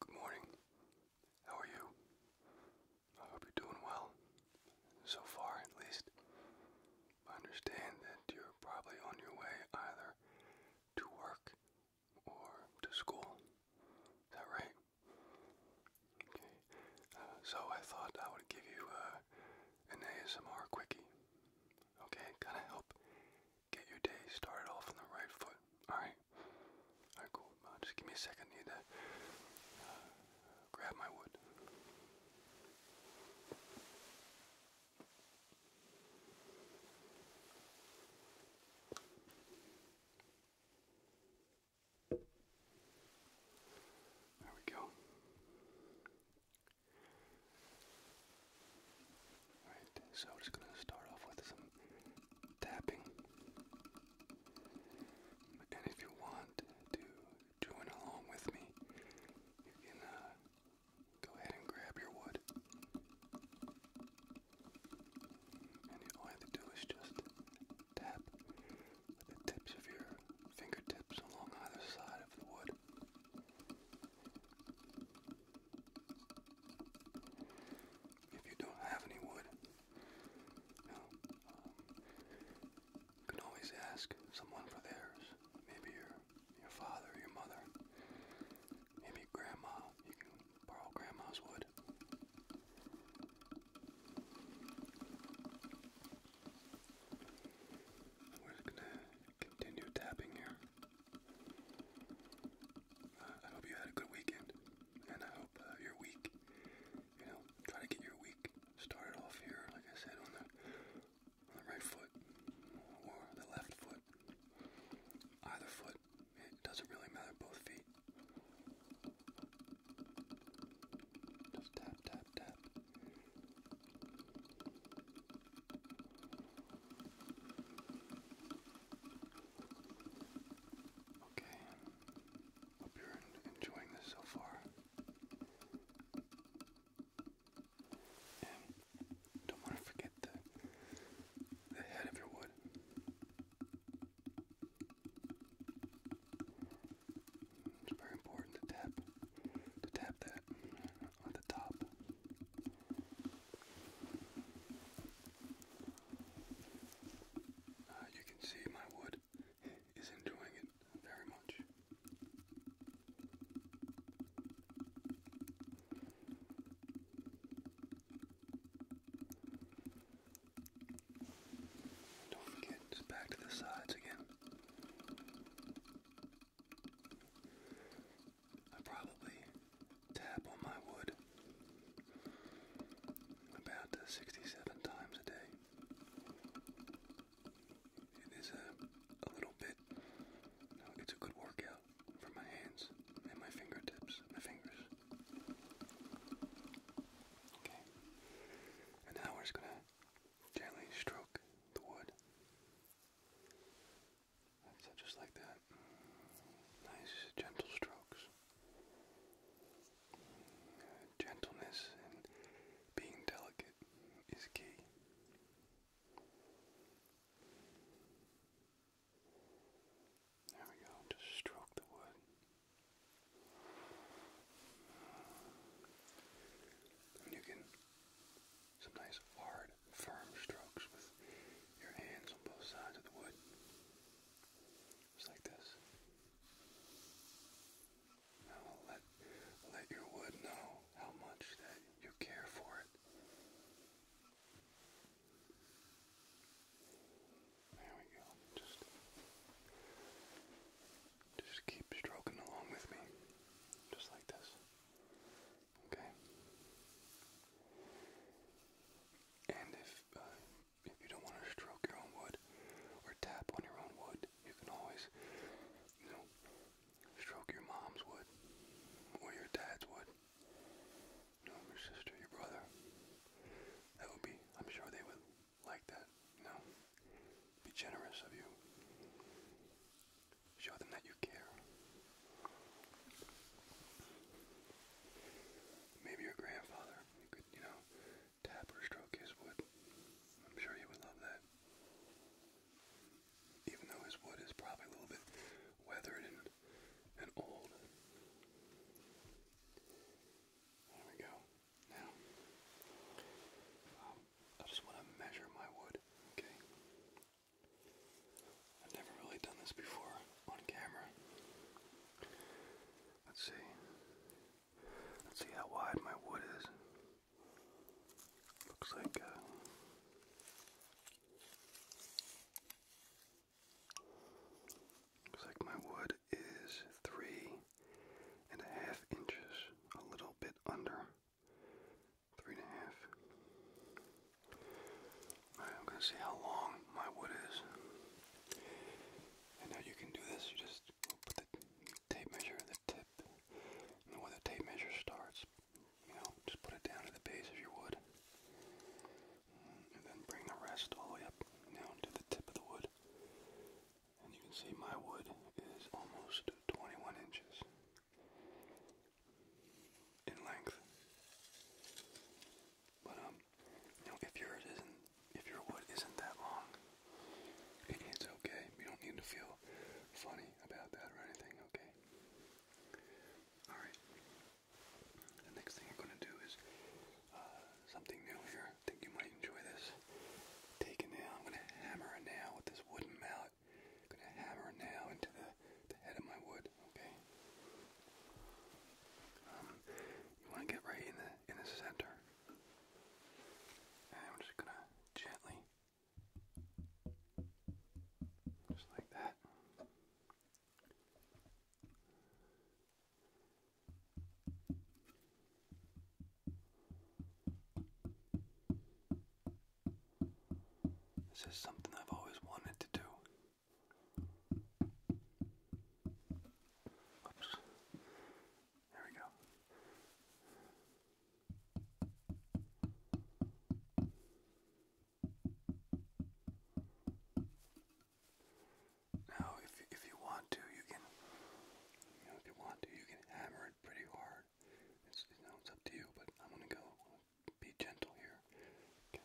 Good morning. How are you? I hope you're doing well. So far, at least. I understand that you're probably on your way either to work or to school. Is that right? Okay. Uh, so I thought I would give you uh, an ASMR quickie. Okay, kind of help get your day started off on the right foot. Alright? Alright, cool. Uh, just give me a second. need to uh, grab my wood. There we go. Alright, so I'm just going to start off with some tapping. And if you want to join along with me, you can uh, go ahead and grab your wood. And all you have to do is just tap the tips of your fingertips along either side of the wood. If you don't have any wood, um, you, can always ask someone for theirs. Maybe your your father, your mother, maybe grandma. You can borrow grandma's wood. We're gonna continue tapping here. I hope you had a good weekend, and I hope uh, your week, you know, try to get your week started off here, like I said, on the right foot or the left foot, either foot. It doesn't really matter. Both feet. Just tap, tap, tap. Okay, hope you're enjoying this so far. don't want to forget the the head of your wood. It's very important to tap to tap that on the top. Uh, you can see my wood is enjoying it very much. Don't forget, back to the sides again. I probably tap on my wood about uh, 67 times a day. It is a, little bit, you know, it's a good workout for my hands and my fingertips, my fingers. Okay, and now we're just gonna gently stroke the wood. So just like that. Nice gentle strokes. gentleness and being delicate is key. There we go, just stroke the wood. And you can some nice hard, firm strokes with your hands on both sides of the wood. Just like this. Now let, let your wood know how much that you care for it. There we go. Just, just keep stroking along with me. Just like this. Okay. And if uh, if you don't want to stroke your own wood or tap on your own wood, you can always, you know, stroke your mom's wood or your dad's wood. your sister, your brother. That would be. I'm sure they would like that. You know, be generous of you. Show them that you care. Maybe your grandfather, could, you know, tap or stroke his wood. I'm sure he would love that. Even though his wood is probably a little bit weathered and, old. There we go. Now, I just want to measure my wood, okay? I've never really done this before on camera. Let's see. Let's see how wide my wood is. Looks like uh, looks like my wood is three and a half inches, a little bit under three and a half. Alright, I'm gonna see how long my wood is. And now you can do this, you just put the tape measure at the tip. And where the tape measure starts, you know, just put it down to the base of your wood. And then bring the rest all the way up down to the tip of the wood. And you can see my wood is almost 21 inches in length. But um, you if yours isn't, if your wood isn't that long, it's okay. You don't need to feel funny about that or anything. Okay. All right. The next thing I'm gonna do is uh, something new here. I think you might enjoy this. Take a nail. I'm gonna hammer a nail with this wooden mallet. I'm gonna hammer now into the, head of my wood, okay? Um, you wanna get right in the in the center. I'm just gonna gently just like that. This is something I've always wanted to do. There we go. Now, if if you want to, you can. if you want to, you can hammer it pretty hard. It's up to you, but I'm gonna go be gentle here. Okay. Okay.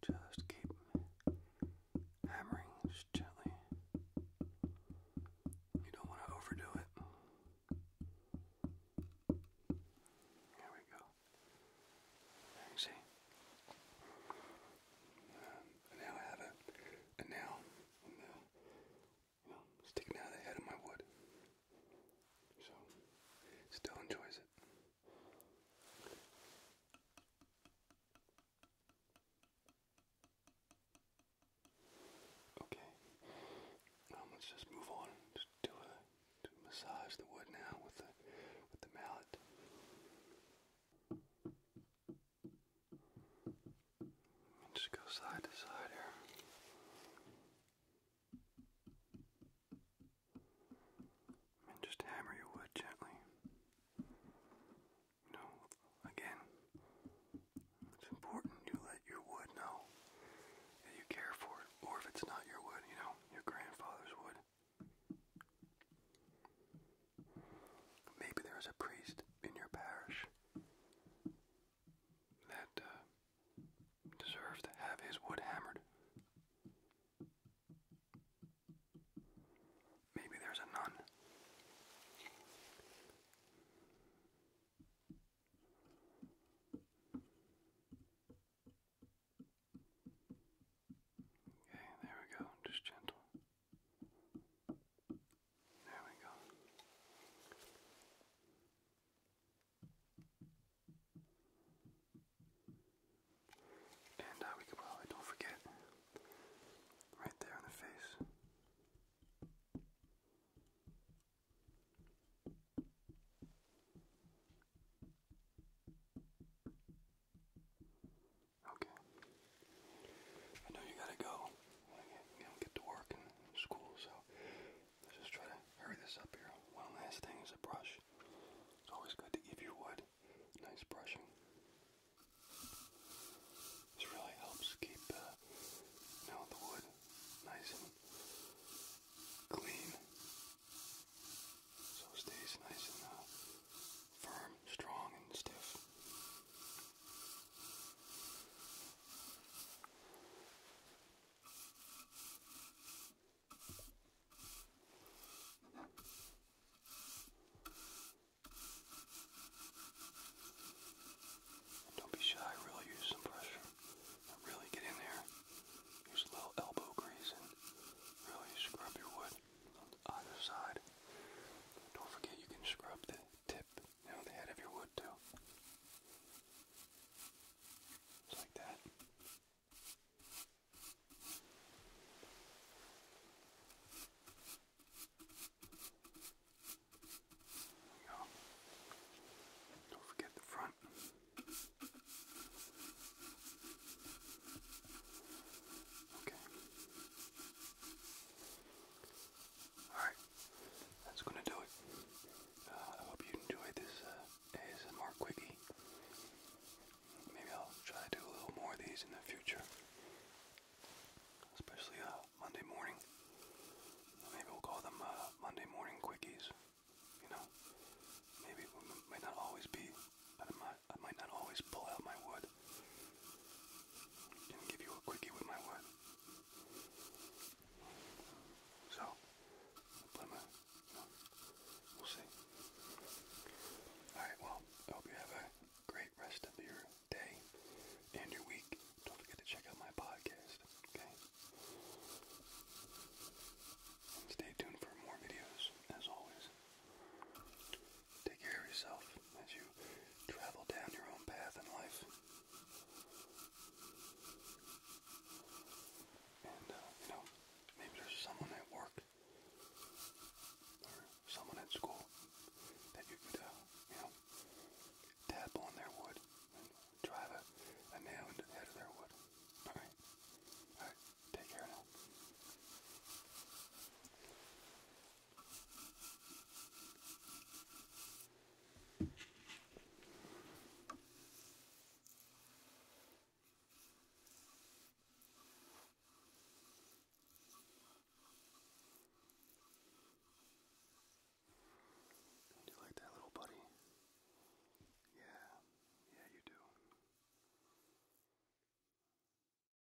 Just keep hammering just gently. You don't want to overdo it. There we go. There you see and now I have a, a nail sticking out of of my wood. So, still enjoys it. Okay, um, let's just move on. Just do massage the wood now with the with the mallet. Just go side to side here. And just hammer your wood gently. You know, again, it's important you let your wood know that you care for it, or if it's not your wood, you know, your grandfather's wood. Maybe there is a priest in your parish that uh, deserves to have his wood hammered. Maybe there's a nun. Okay, there we go, just gentle. There we go. And uh, we could probably, don't forget, right there in the face. Okay. I know you gotta go. You know, get to work and school, so just try to hurry this up here. One last thing is a brush. It's always good to give your wood nice brushing. This really helps keep uh, you know, the wood nice and clean, so stays nice and uh, firm, strong, and stiff. Don't be shy, really use some pressure. Really get in there. Use a little elbow grease and really scrub your wood on the other side. Don't forget you can scrub the tip, you know, the head of your wood too. Just like that. go. Don't forget the front. Okay. Alright, that's gonna do it. Uh, I hope you enjoyed this uh, ASMR quickie. Maybe I'll try to do a little more of these in the future, especially uh, Monday morning. Maybe we'll call them uh, Monday morning quickies. You know, maybe it not always be I might, not always pull out my wood and give you a quickie with my wood. So, we'll see. Alright, well, I hope you have a great rest of your day and your week. Don't forget to check out my podcast, okay? stay tuned for more videos, as always. Take care of yourself as you travel down your own path in life. And, uh, you know, maybe there's someone at work or someone at school that you could, uh, you know, tap on their wood and drive a nail into the head of their wood. Alright? Alright, take care now. Do you like that little buddy? Yeah, yeah, you do.